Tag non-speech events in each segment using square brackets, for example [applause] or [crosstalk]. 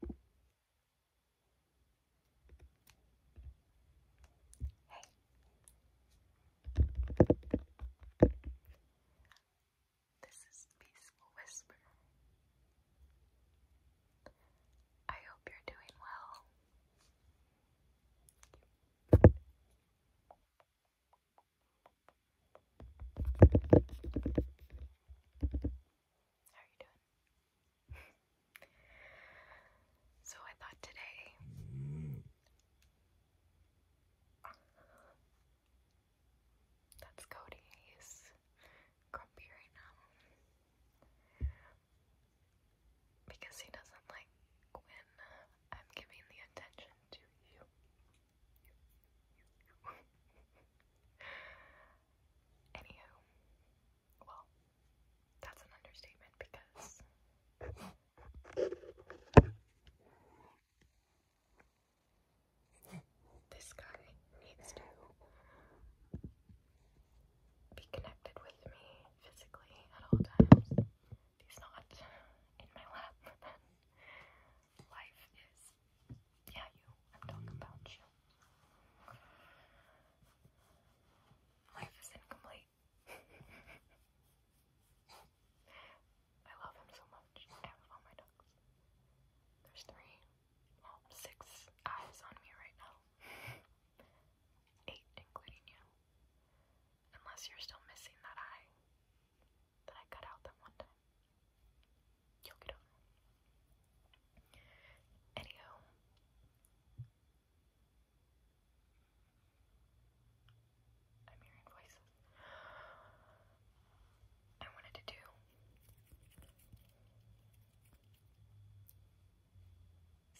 Hey. This is Peaceful Whisper. I hope you're doing well. How are you doing? So I thought today that's Cody. grumpy right now because he doesn't like when I'm giving the attention to you. Anywho, well, that's an understatement because this guy needs to be connected with me physically at all times. he's not in my lap, [laughs] life is yeah, you. I'm talking about you. Life is incomplete. [laughs] I love him so much. I have all my ducks. There's three, well, six eyes on me right now. Eight, including you. Unless you're still missing that eye that I cut out that one time you Anyhow. I'm hearing voices. I wanted to do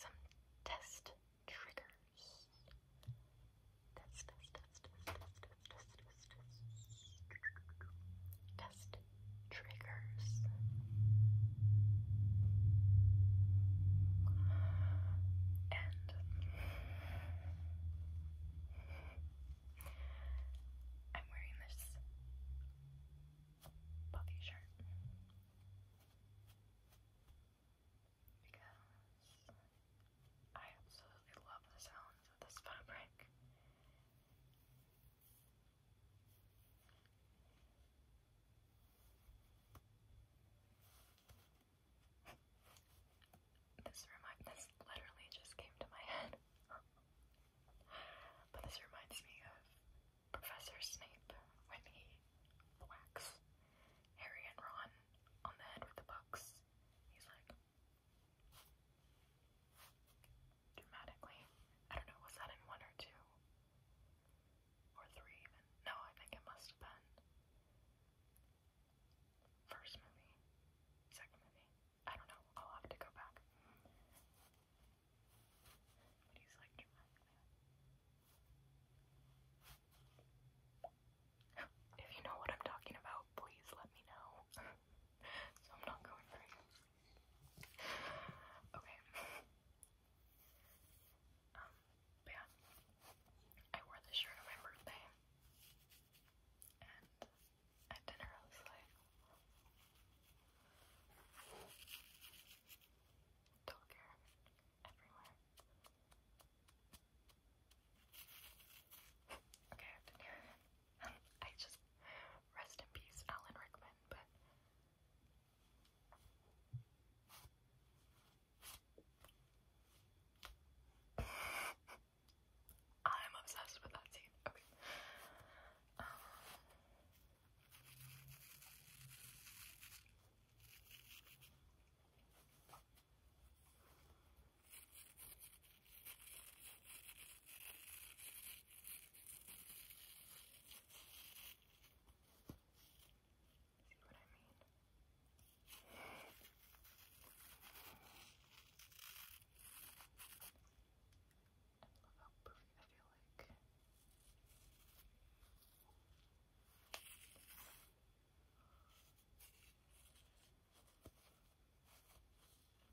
some test triggers test triggers. And I'm wearing this puffy shirt because I absolutely love the sounds of this fabric. This remind this literally just came to my head. [laughs] but this reminds me of Professor Snape when he whacks Harry and Ron on the head with the books. He's like, dramatically. I don't know, was that in one or two? Or three No, I think it must have been. First movie? Second movie? I don't know, I'll have to go back. [gasps] If you know what I'm talking about, please let me know. [laughs] so I'm not going crazy. Okay. Um, yeah. I wore this shirt on my birthday. And at dinner I was like don't care. Everywhere. [laughs] Okay, I [laughs] just rest in peace, Alan Rickman, but I'm obsessed with that scene. Okay. Um, See what I mean? I love how perfect I feel like.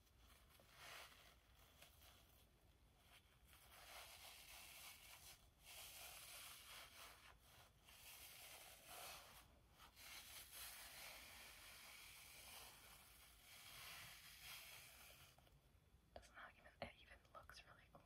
It's not it even looks really cool.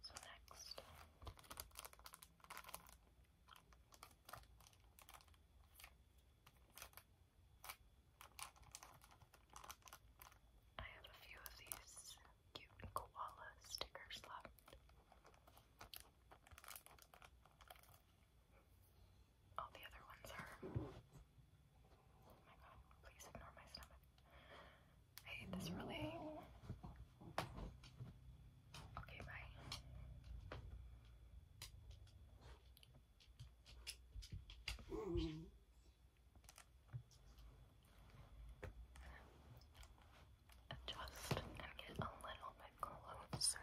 So next. I have a few of these cute koala stickers left all the other ones are. Oh my god, please ignore my stomach. I hate this really. Okay, bye. Adjust and get a little bit closer.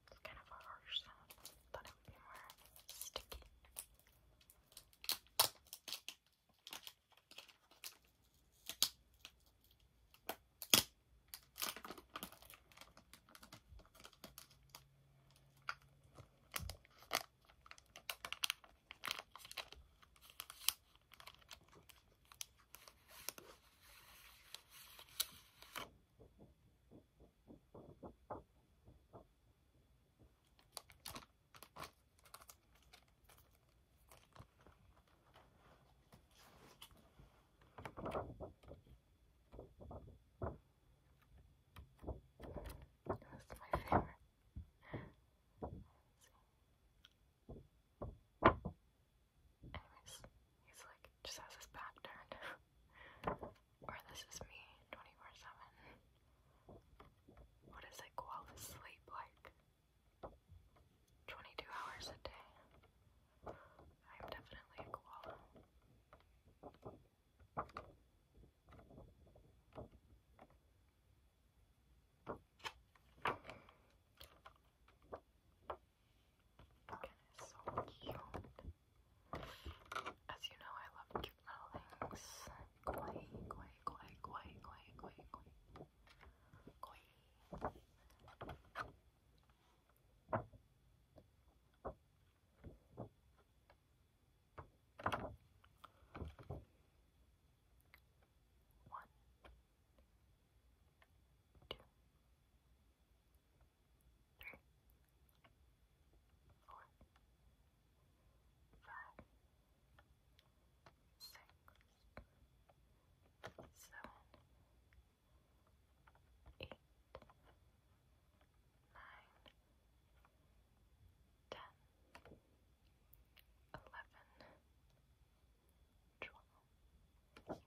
It's kind of a harsh sound. Thought it would be more sticky. That's my favorite. Anyways, he's like, just has his back turned. [laughs] Or this is me 24-7. What is it called sleep like? 22 hours a day. I'm definitely a koala. It is so cute. As you know, I love cute little things. Koi, koi, three, four, five, six, seven, eight, nine, ten, eleven, twelve, thirteen. 14,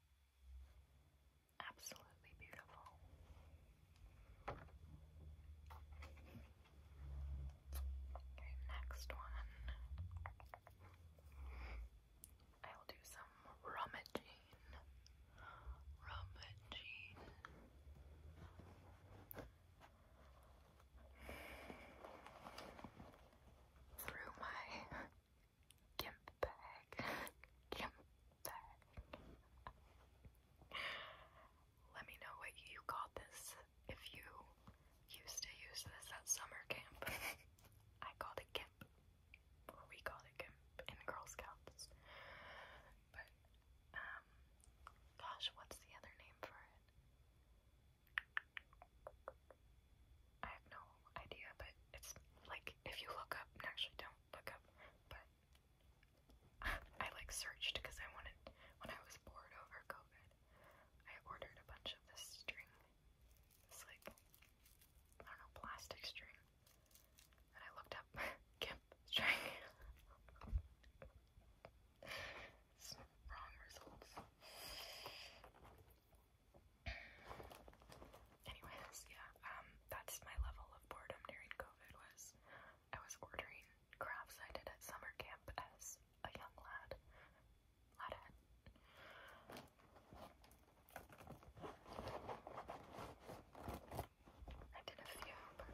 Absolutely beautiful. next one. I will do some rummaging. Rummaging. Through my gimp bag. [laughs] gimp bag. Let me know what you called this if you used to use this at summer camp. [laughs] I called it gimp. we called it gimp in Girl Scouts. But um gosh, what's the other name for it? I have no idea, but it's like if you look up, actually don't look up, but [laughs] I like searched because I wanted when I was bored over COVID, I ordered a bunch of this string. It's like I don't know, plastic string. And I looked up gimp [laughs] string. [laughs] wrong results. Anyways, yeah, um, that's my level of boredom during COVID was I was ordering crafts I did at summer camp as a young lad. I did a few, but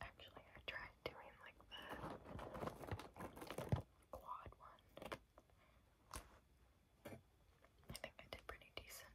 Actually, I tried doing like the quad one. I think I did pretty decent.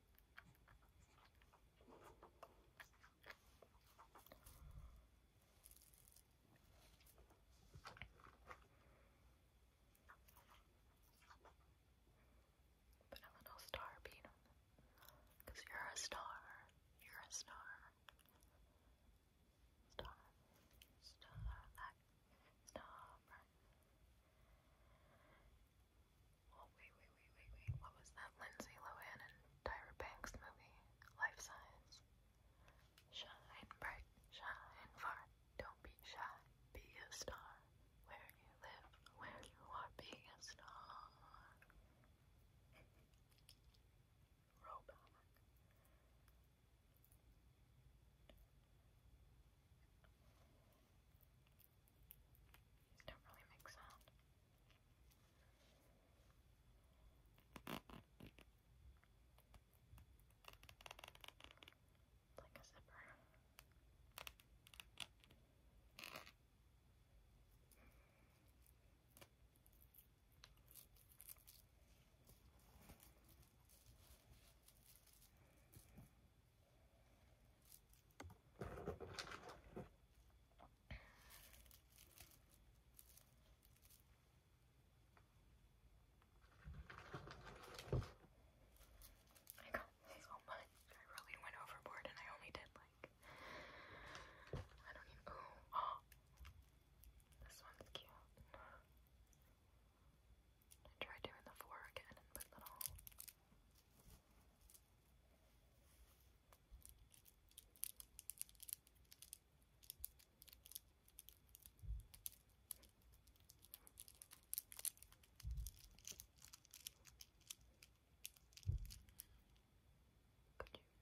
Put a little star Because you're a star. You're a star. Star. Starlight. Star. Bright wait, wait, wait, wait, wait. What was that Lindsay Lohan and Tyra Banks movie? Life Size. Shine bright, shine far. Don't be shy, be a star. Where you live, where you are, being a star don't really make sound. It's like a zipper. I got so much. I really went overboard and I only did like I don't even oh this one's cute. I tried doing the four again and put little could you not? Please?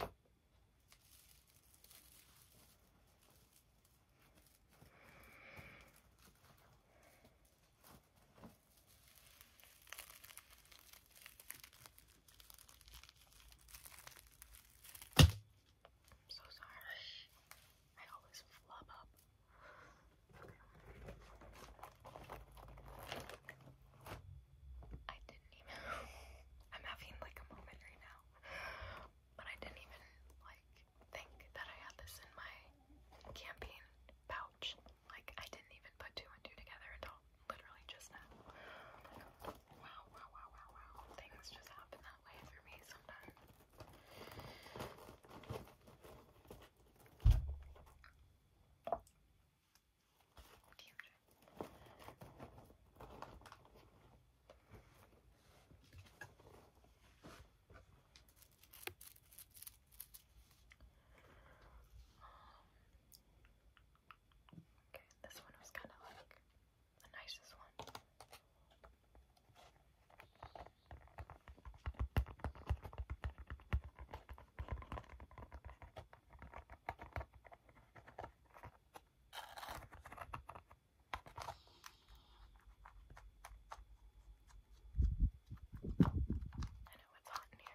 I'm so sorry. I always flub up. I didn't even. [laughs] I'm having like a moment right now. [sighs] But I didn't even like think that I had this in my campaign pouch. Like I didn't even put two and two together until literally just now. Wow, wow, wow, wow, wow. Things just happen that way for me sometimes. Okay, this one was kind of like the nicest one. I know it's hot in here.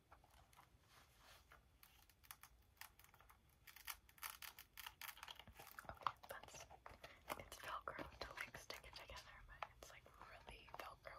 Okay, that's it's velcro to like stick it together, but it's like really velcro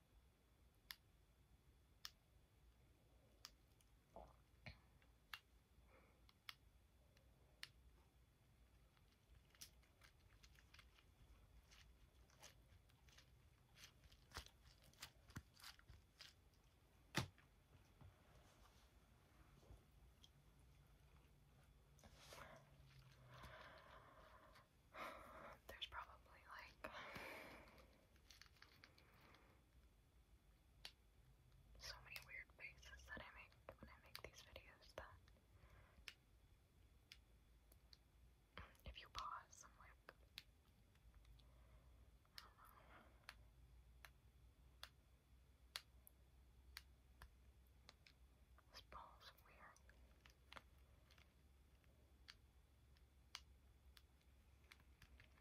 There's probably like so many weird faces that I make when I make these videos that if you pause, I'm like, I don't know. This ball's weird.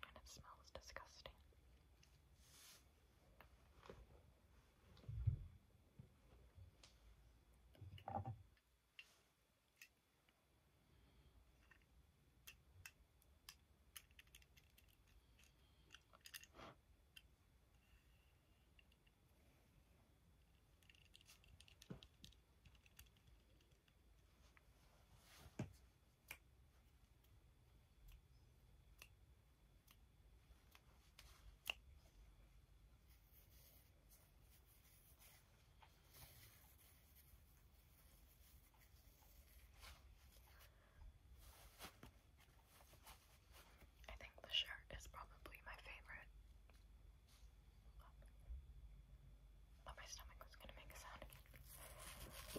And it smells disgusting. I think the shirt is probably my favorite thought oh, my stomach was gonna make a sound again. I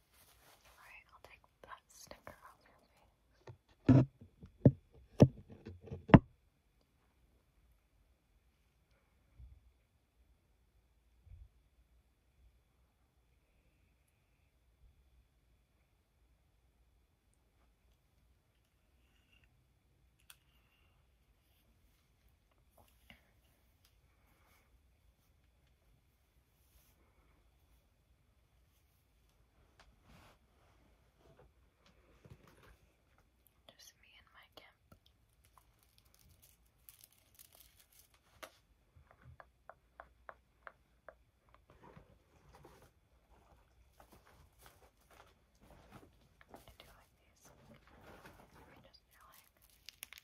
Alright, I'll take that sticker off your face. Just me and my camp. I do like these. I just feel like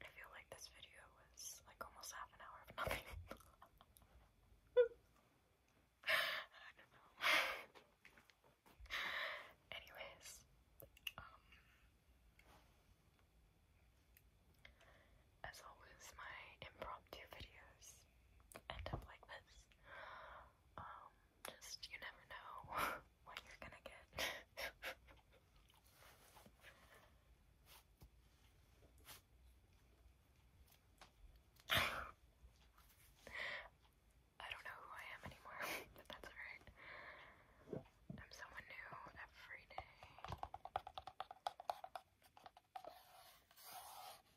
I feel like this video was like almost half an hour of nothing. [laughs] Anyways, um, as always, my impromptu videos end up like this. Um, just, you never know [laughs] what you're gonna get. [laughs] I don't know who I am anymore, [laughs] but that's alright. I'm someone new every day. I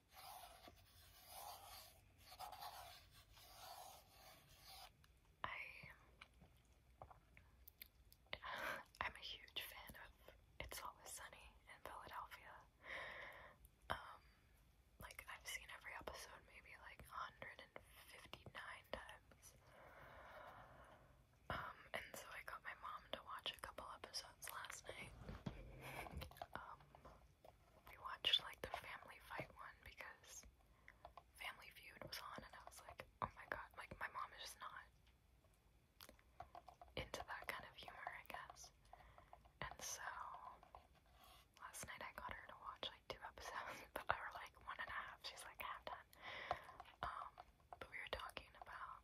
I'm a huge fan of It's Always Sunny in Philadelphia. Um like I've seen every episode maybe like 159 times. Um and so I got my mom to watch a couple episodes last night. Um, we watched like the family fight one because Family Feud was on, and I was like, oh my god, like my mom is just not into that kind of humor, I guess. And so last night I got her to watch like two episodes, [laughs] but or like one and a half. She's like half done. Um, but we were talking about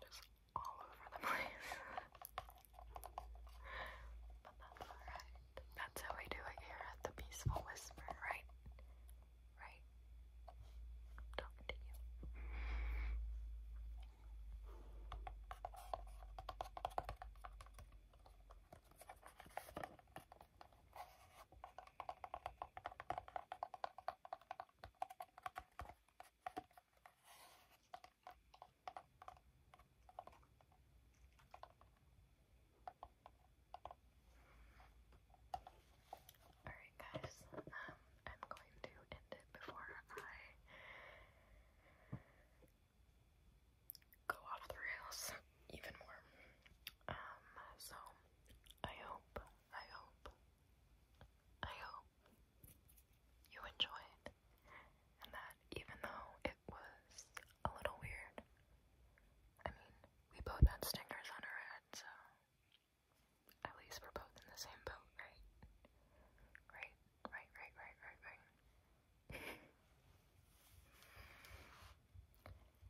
Just all over the [laughs] place. but that's alright. That's how we do it here at the Peaceful Whisper, right? Right? I'm you. Alright guys, um, I'm going to end it before I go off the rails even more. Um, so I hope, I hope, I hope you enjoy and that even though it was a little weird, I mean, we both had stingers on our heads, so at least we're both in the same boat, Right, right, right, right, right, right. [laughs]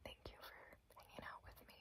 Thank you for hanging out with me